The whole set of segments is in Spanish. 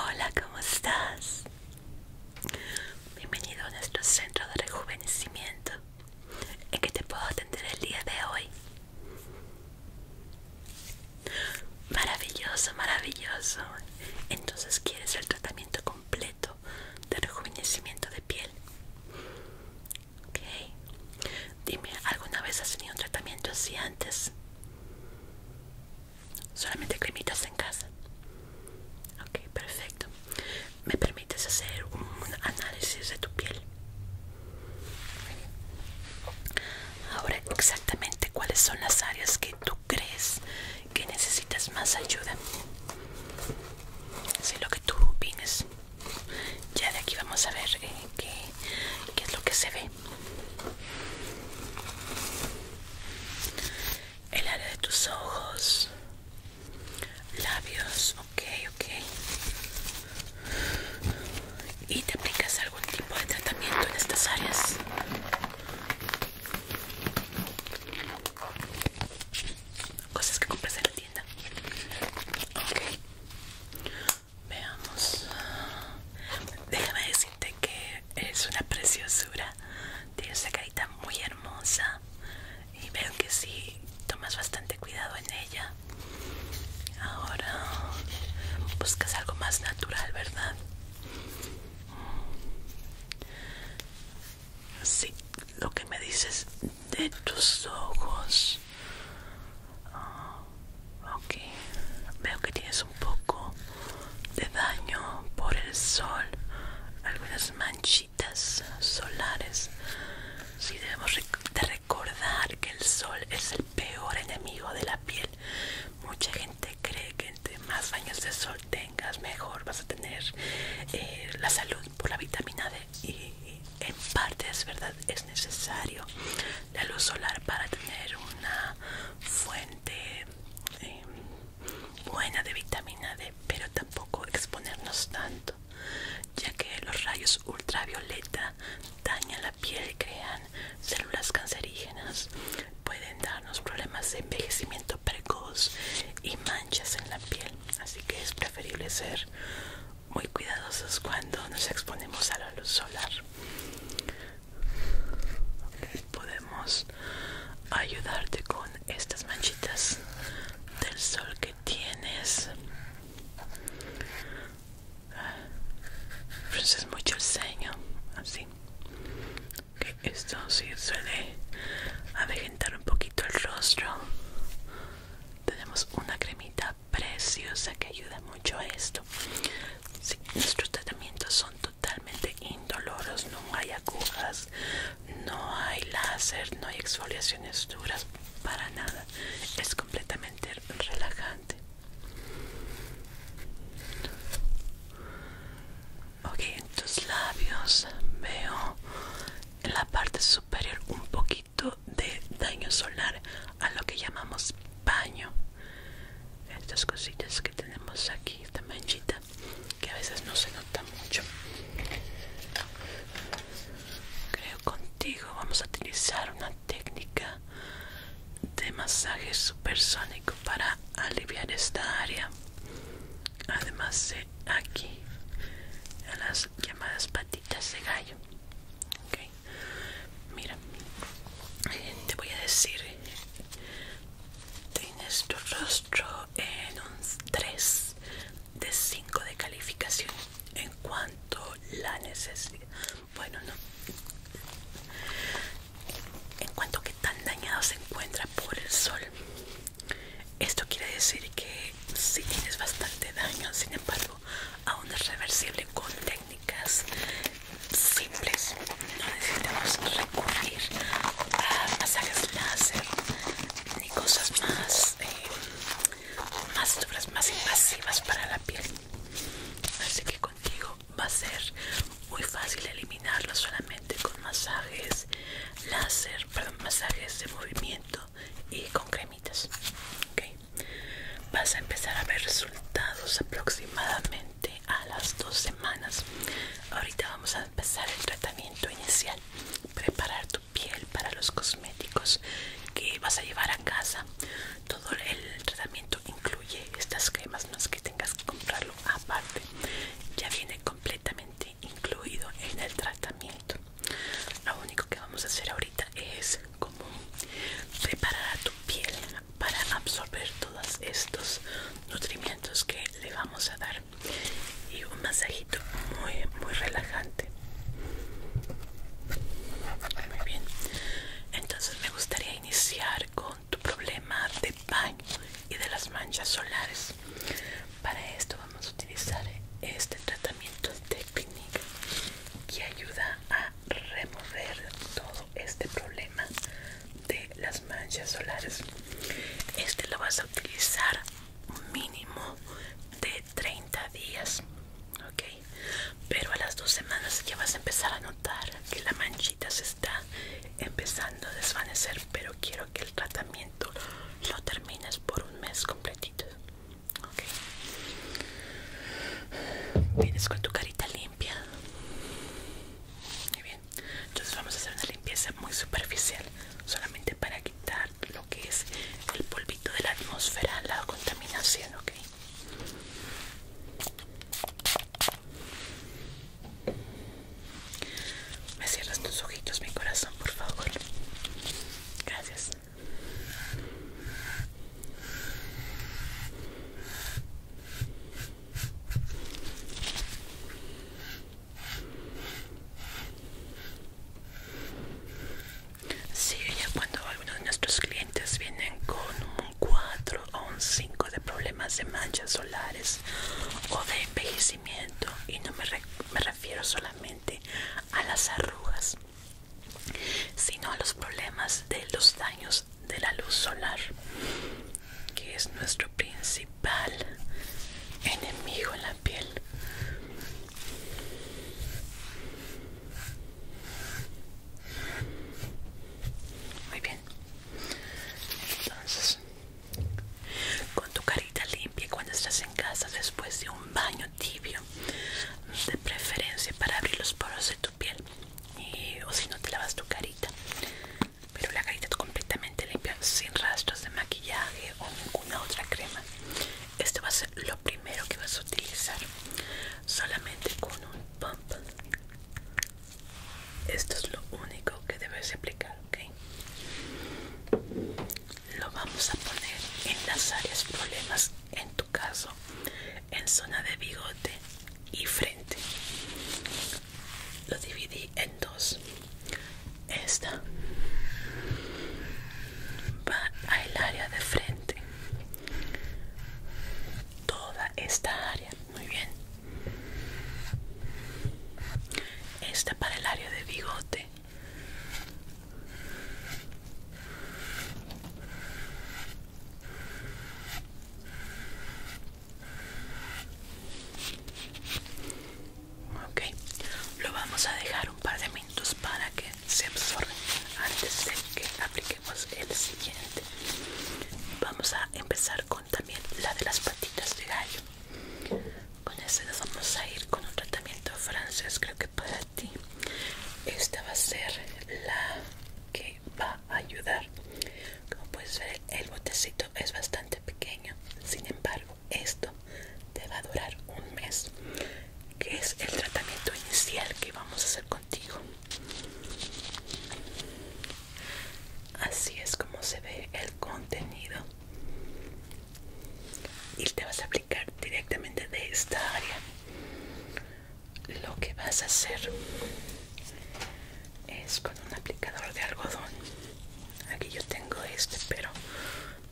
Hola, ¿cómo estás? Bienvenido a nuestro centro de rejuvenecimiento. ¿En que te puedo atender el día de hoy? Maravilloso, maravilloso. Entonces quieres el tratamiento completo de rejuvenecimiento de piel. Ok. Dime, ¿alguna vez has tenido un tratamiento así antes? Solamente cremitas en casa. Ok, perfecto me permites hacer un análisis de tu piel. Ahora exactamente cuáles son las áreas que tú crees que necesitas más ayuda. Si lo que tú opines. Ya de aquí vamos a ver eh, qué, qué es lo que se ve. El área de tus ojos, labios, ok, ok. ¿Y te aplicas algún tipo de tratamiento en estas áreas? Cosas que compras en la tienda. Ok. Veamos. Déjame decirte que es una preciosura. tiene esa carita muy hermosa y veo que si tomas bastante cuidado en ella. Ahora buscas algo más natural, ¿verdad? Sí, lo que me dices de tus ojos. Ah, ok, veo que tienes un poco de daño por el sol, algunas manchitas solares. Si debemos de recordar que el sol es el peor enemigo de la piel. Mucha gente cree que entre más años de sol tengas, mejor vas a tener eh, la salud por la vitamina D. Y en parte es verdad, es necesario la luz solar para tener una fuente eh, buena de vitamina D, pero tampoco exponernos tanto ya que los rayos ultravioleta dañan la piel y crean células cancerígenas. Pueden darnos problemas de envejecimiento precoz y manchas en la piel, así que es preferible ser muy cuidadosos cuando nos exponemos a la luz solar. podemos ayudarte con estas manchitas del sol que tienes pues es mucho el ceño, así. esto sí suele avejentar un poquito el rostro. Tenemos una cremita preciosa que ayuda mucho a esto. nuestros tratamientos son totalmente indoloros, no hay agujas, no hay láser, no hay exfoliaciones duras para nada es completamente relajante ok en tus labios veo en la parte superior un poquito de daño solar a lo que llamamos baño estas cositas que tenemos aquí esta manchita que a veces no se nota mucho Creo contigo vamos a utilizar una técnica de masaje supersónico para aliviar esta área. Además de aquí, a las llamadas patitas de gallo. Okay. Mira, te voy a decir, tienes tu rostro en un 3 de 5 de calificación en cuanto la necesidad bueno no en cuanto que tan dañado se encuentra por el sol esto quiere decir que si tienes bastante daño sin embargo aún es reversible con técnicas simples no necesitamos recurrir a masajes láser ni cosas más eh, más obras más invasivas para la piel así que contigo va a ser muy fácil eliminarlo solamente con masajes láser perdón masajes de movimiento y con cremitas vas a empezar a ver resultados aproximadamente a las dos semanas ahorita vamos a empezar el tratamiento inicial preparar tu piel para los cosméticos que vas a llevar a casa todo el tratamiento incluye estas cremas no es que tengas que comprarlo aparte ya viene completamente incluido en el tratamiento lo único que vamos a hacer ahorita es como preparar a tu piel para absorber todos estos nutrimientos que le vamos a dar y un masajito muy muy relajante muy bien entonces me gustaría iniciar con tu problema de baño y de las manchas solares para esto vamos a utilizar este tratamiento de Clinique que ayuda a remover todo este problema de las manchas solares este lo vas a utilizar mínimo de 30 días ok pero a las dos semanas ya vas a empezar a notar que la manchita se está empezando a desvanecer pero quiero que el tratamiento lo termines por un mes completito ok vienes con tu carita limpia muy bien entonces vamos a hacer una limpieza muy superficial solamente para quitar lo que es el polvito de la atmósfera, la contaminación, ¿ok? Me cierras tus ojitos, mi corazón, por favor. Gracias. Sí, ya cuando algunos de nuestros clientes vienen con un 4 o un 5 de problemas de manchas solares o de envejecimiento, y no me, me refiero solamente a las arrugas, sino a los problemas de los daños de la luz solar, que es nuestro principal enemigo en la piel. Muy bien. Entonces, con tu carita limpia cuando estás en casa después de un baño tibio, de preferencia para abrir los poros de tu piel, o si no te lavas tu carita, pero la carita completamente limpia, sin rastros de maquillaje o ninguna otra crema. Esto va a ser lo primero que vas a utilizar. Solamente con un pump. Esto es lo único que debes aplicar, ¿ok? Lo vamos a poner en las áreas problemas, en tu caso, en zona de bigote y frente. Lo dividí en dos esta va al área de frente toda esta área muy bien esta para el área de bigote ok lo vamos a dejar un par de minutos para que se absorbe antes de que apliquemos el siguiente vamos a empezar con también la de las patitas de gallo con ese vamos a ir con un tratamiento francés creo que para ti esta va a ser la que va a ayudar como puedes ver el botecito es bastante pequeño sin embargo esto te va a durar un mes, que es el tratamiento inicial que vamos a hacer contigo. Así es como se ve el contenido. Y te vas a aplicar directamente de esta área. Lo que vas a hacer es con un aplicador de algodón. Aquí yo tengo este, pero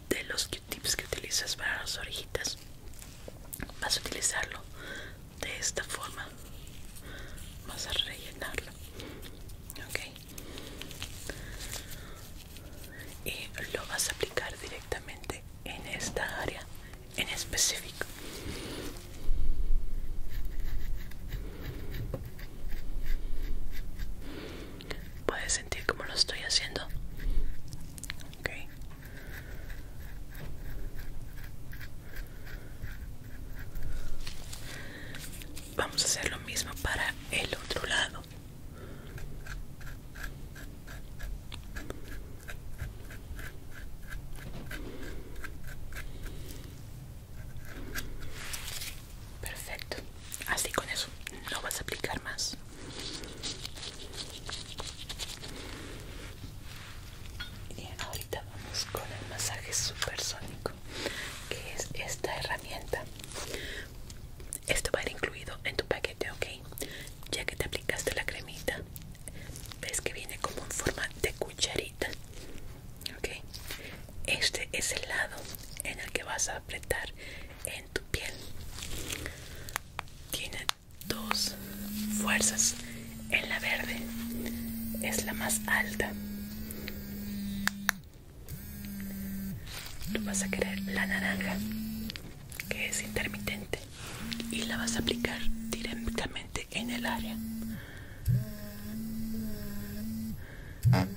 de los que tips que utilizas para las orejitas vas a utilizarlo de esta forma vas a rellenarlo ok y lo vas a aplicar directamente en esta área en específico ser sentir como lo estoy haciendo. Ok. Vamos a hacer lo mismo para el otro lado. Perfecto. Así con eso no vas a aplicar más y ahorita vamos con el masaje supersónico que es esta herramienta esto va a ir incluido en tu paquete ok ya que te aplicaste la cremita ves que viene como en forma de cucharita ok este es el lado en el que vas a apretar en tu piel. Tiene dos fuerzas. En la verde es la más alta. Tú vas a querer la naranja, que es intermitente, y la vas a aplicar directamente en el área.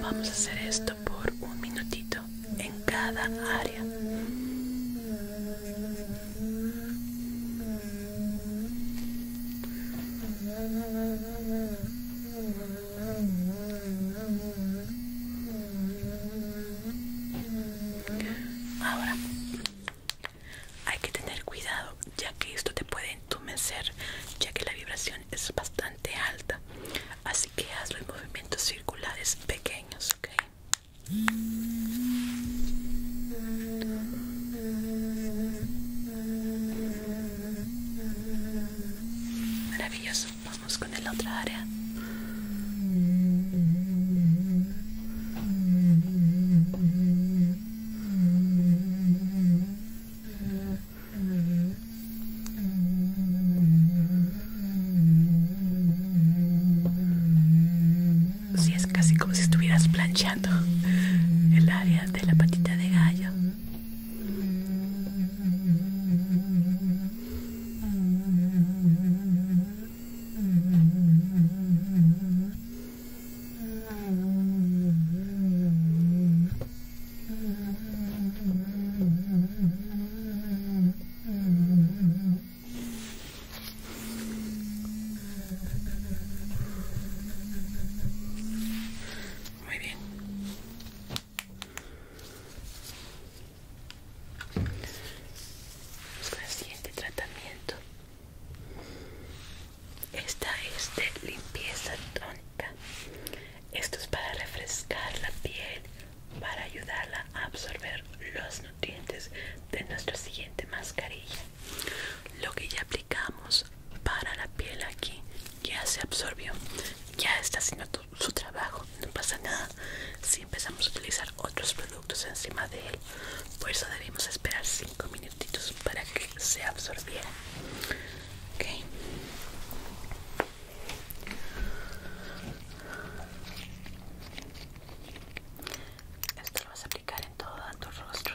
Vamos a hacer esto por un minutito en cada área. Ahora hay que tener cuidado ya que esto te puede entumecer ya que la vibración es bastante alta. Así que haz los movimientos circulares pequeños, ¿ok? Maravilloso, vamos con el otra área si es casi como si estuvieras planchando el área de la patita de gallo. Muy bien. Vamos con el siguiente tratamiento. Esta es de limpieza tónica. Esto es para refrescar la piel, para ayudarla a absorber los nutrientes de nuestra siguiente mascarilla. Lo que ya aplicamos para la piel aquí ya se absorbió, ya está haciendo su trabajo, no pasa nada si empezamos a utilizar otros productos encima de él. Por eso debemos esperar minutitos para que se absorbiera ok esto lo vas a aplicar en todo tu rostro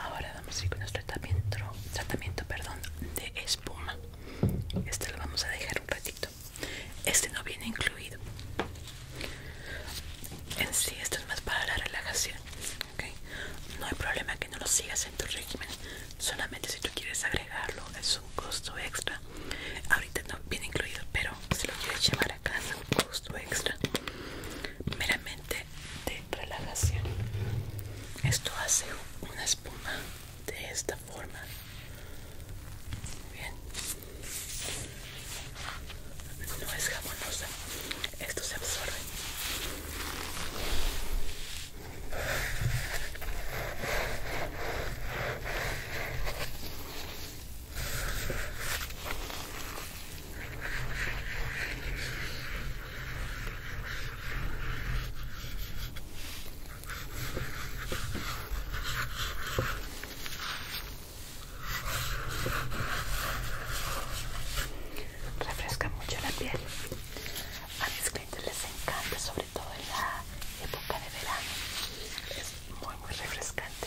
Ahora vamos a ir con nuestro tratamiento, tratamiento perdón, de espuma. Este lo vamos a dejar un ratito. Este no viene incluido. En sí, esto es más para la relajación. ¿okay? No hay problema que no lo sigas en tu régimen. Solamente si tú quieres agregarlo, es un costo extra. Ahorita no viene incluido, pero si lo quieres llevar a casa, un costo extra. Meramente de relajación. Esto hace una espuma de esta forma. Bien no es jabonosa esto se absorbe Refresca mucho la piel. A mis clientes les encanta, sobre todo en la época de verano. Es muy, muy refrescante.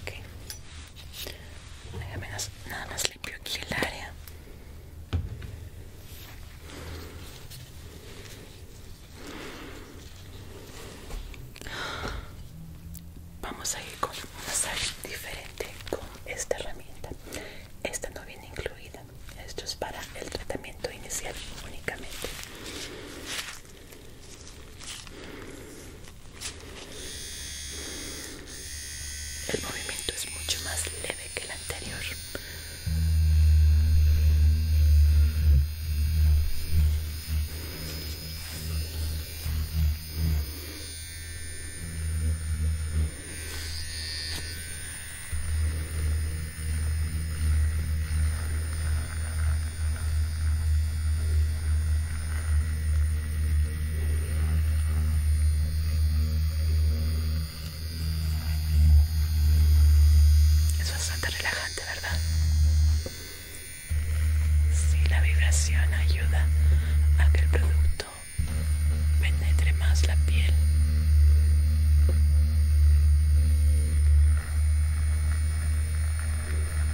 Ok. nada más limpio aquí el área. Vamos a ir con un masaje diferente con esta herramienta. Esta no viene incluida. Esto es para el tratamiento inicial únicamente. El movimiento es mucho más leve que el anterior. Es bastante relajante, ¿verdad? Sí, la vibración ayuda a que el producto penetre más la piel.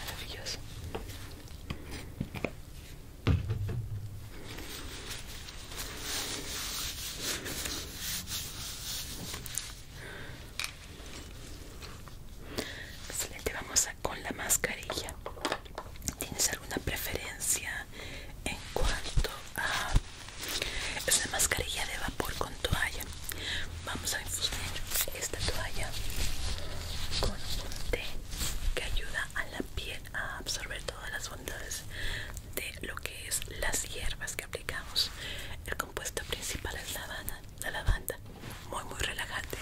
Maravilloso. Excelente, pues vamos con la mascarilla. ¿Tienes alguna preferencia en cuanto a es una mascarilla de vapor con toalla. Vamos a infusionar esta toalla con un té que ayuda a la piel a absorber todas las bondades de lo que es las hierbas que aplicamos. El compuesto principal es lavanda, la lavanda, muy muy relajante.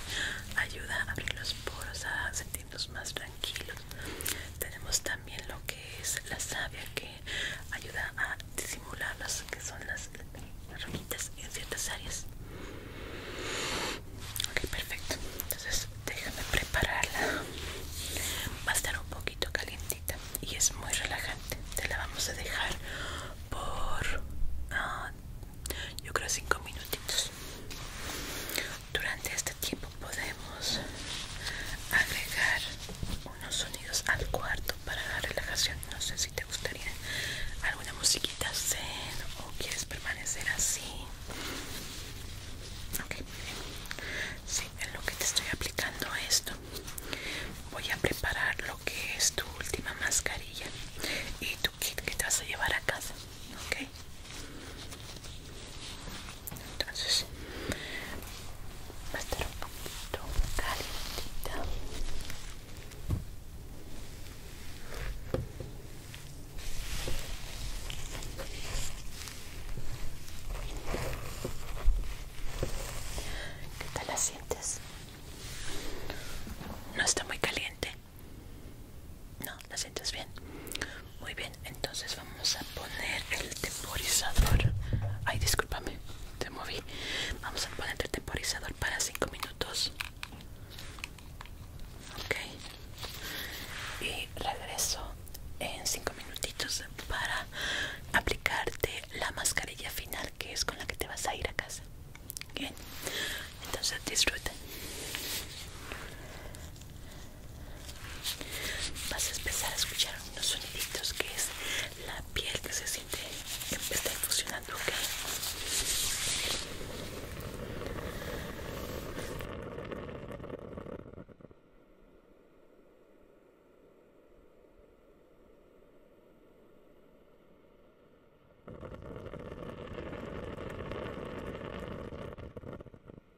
Ayuda a abrir los poros, a sentirnos más tranquilos. Tenemos también lo que es la savia que ayuda a disimular las que son las, ramitas en ciertas áreas ok perfecto entonces déjame prepararla va a estar un poquito calientita y es muy relajante te la vamos a dejar por ah, yo creo cinco minutitos durante este tiempo podemos agregar unos sonidos al cuarto para la relajación. No sé si te gustaría alguna musiquita zen o quieres permanecer así. Ok, bien. Sí, en lo que te estoy aplicando esto, voy a preparar lo que es tu última mascarilla y tu kit que te vas a llevar a casa. Ok entonces va a estar un poquito calientita ¿Qué tal la sientes? No está muy caliente. No, la sientes bien. Muy bien, entonces vamos a poner el temporizador. Ay, discúlpame, te moví. Vamos a poner el temporizador para 5 minutos. Ok. Y regreso en 5 minutitos para aplicarte la mascarilla final que es con la que te vas a ir a casa. Bien, entonces disfruta vas a empezar a escuchar unos soniditos que es la piel que se siente que está funcionando.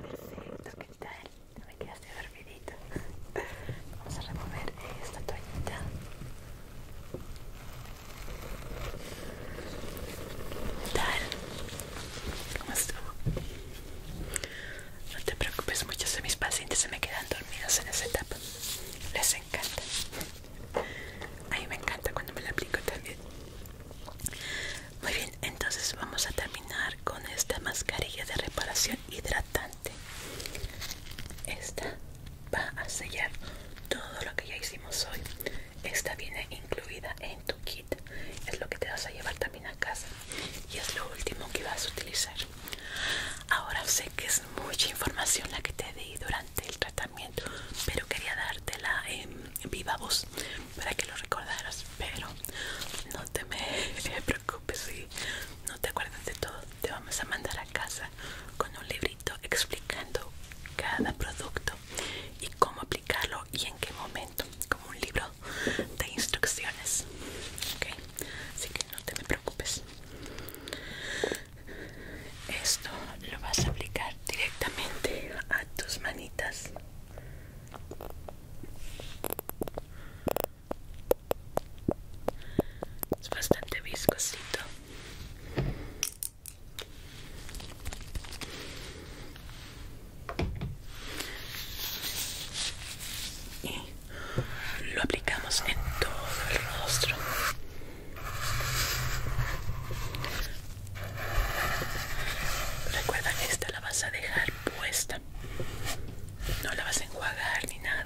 Perfecto, ¿qué tal? No me quedaste dormidito. Vamos a remover esta toallita. ¿Qué tal? ¿Cómo estuvo? No te preocupes, mucho, si mis pacientes se me quedan dormidos en esa etapa. Les encanta. A mí me encanta cuando me la aplico también. Muy bien, entonces vamos a terminar con esta mascarilla de reparación hidratante. Esta va a sellar todo lo que ya hicimos hoy. Esta viene incluida en tu kit. Es lo que te vas a llevar también a casa. Y es lo último que vas a utilizar. Ahora sé que es mucha información la que te di durante del tratamiento, pero quería dártela en viva voz para que lo recordaras. Pero no te me preocupes si no te acuerdas de todo. Te vamos a mandar a casa con un librito explicando cada producto y cómo aplicarlo y en qué momento, como un libro de instrucciones. Así que no te me preocupes. Esto lo vas a aplicar directamente a tus manitas. Es bastante viscosito. Y lo aplicamos en todo el rostro. Recuerda que esta la vas a dejar puesta. No la vas a enjuagar ni nada.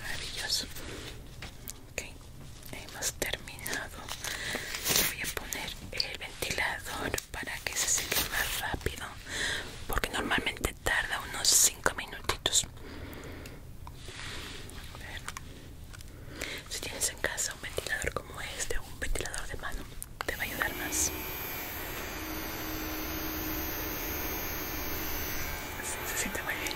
Maravilloso. Ok, hemos terminado. Voy a poner el ventilador para que se seque más rápido, porque normalmente tarda unos 5 minutitos. Si tienes en casa un ventilador como este o un ventilador de mano te va a ayudar más. se siente muy bien.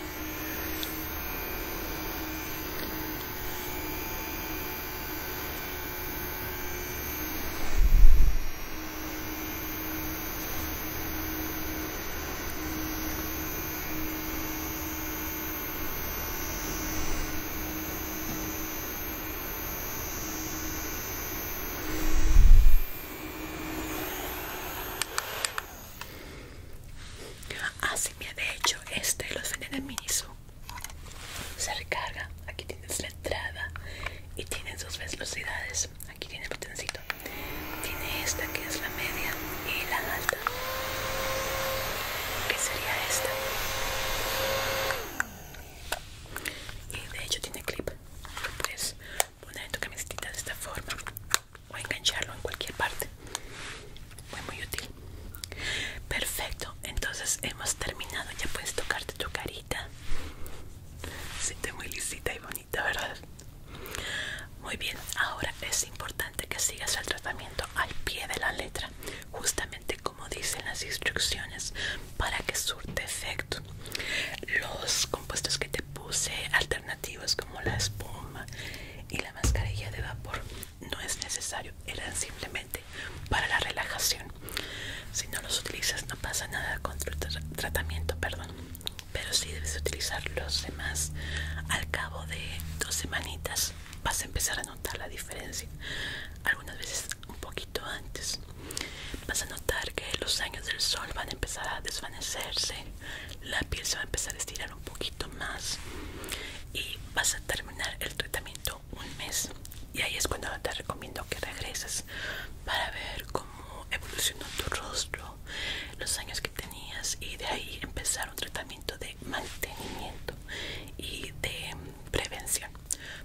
Así ah, que de hecho este los venden en Miniso. Se recarga. Aquí tienes la entrada y tienes dos velocidades. Aquí tiene el botoncito. Tiene esta que es la media y la alta. Que sería esta y de hecho tiene clip puedes poner en tu camisita de esta forma o engancharlo en cualquier parte muy muy útil perfecto entonces hemos terminado ya puedes tocarte tu carita siente muy lisita y bonita verdad muy bien ahora es importante que sigas el tratamiento al pie de la letra justamente como dicen las instrucciones para que surte efecto. Los compuestos que te puse, alternativos como la espuma y la mascarilla de vapor, no es necesario, eran simplemente para la relajación. Si no los utilizas no pasa nada con tu tratamiento, perdón. Pero si debes utilizar los demás al cabo de dos semanitas vas a empezar a notar la diferencia. Algunas veces un poquito antes vas a notar que los años del sol van a empezar a desvanecerse la piel se va a empezar a estirar un poquito más y vas a terminar el tratamiento un mes y ahí es cuando te recomiendo que regreses para ver cómo evolucionó tu rostro los años que tenías y de ahí empezar un tratamiento de mantenimiento y de prevención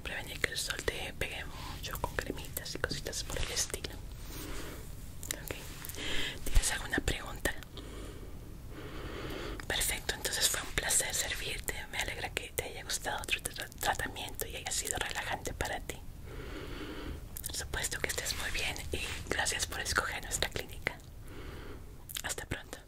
prevenir que el sol te pegue mucho con cremitas y cositas por el estilo ¿tienes alguna pregunta? perfecto, entonces fue un placer servirte me alegra que te haya gustado otro tratamiento y haya sido relajante para ti por supuesto que estés muy bien y gracias por escoger nuestra clínica hasta pronto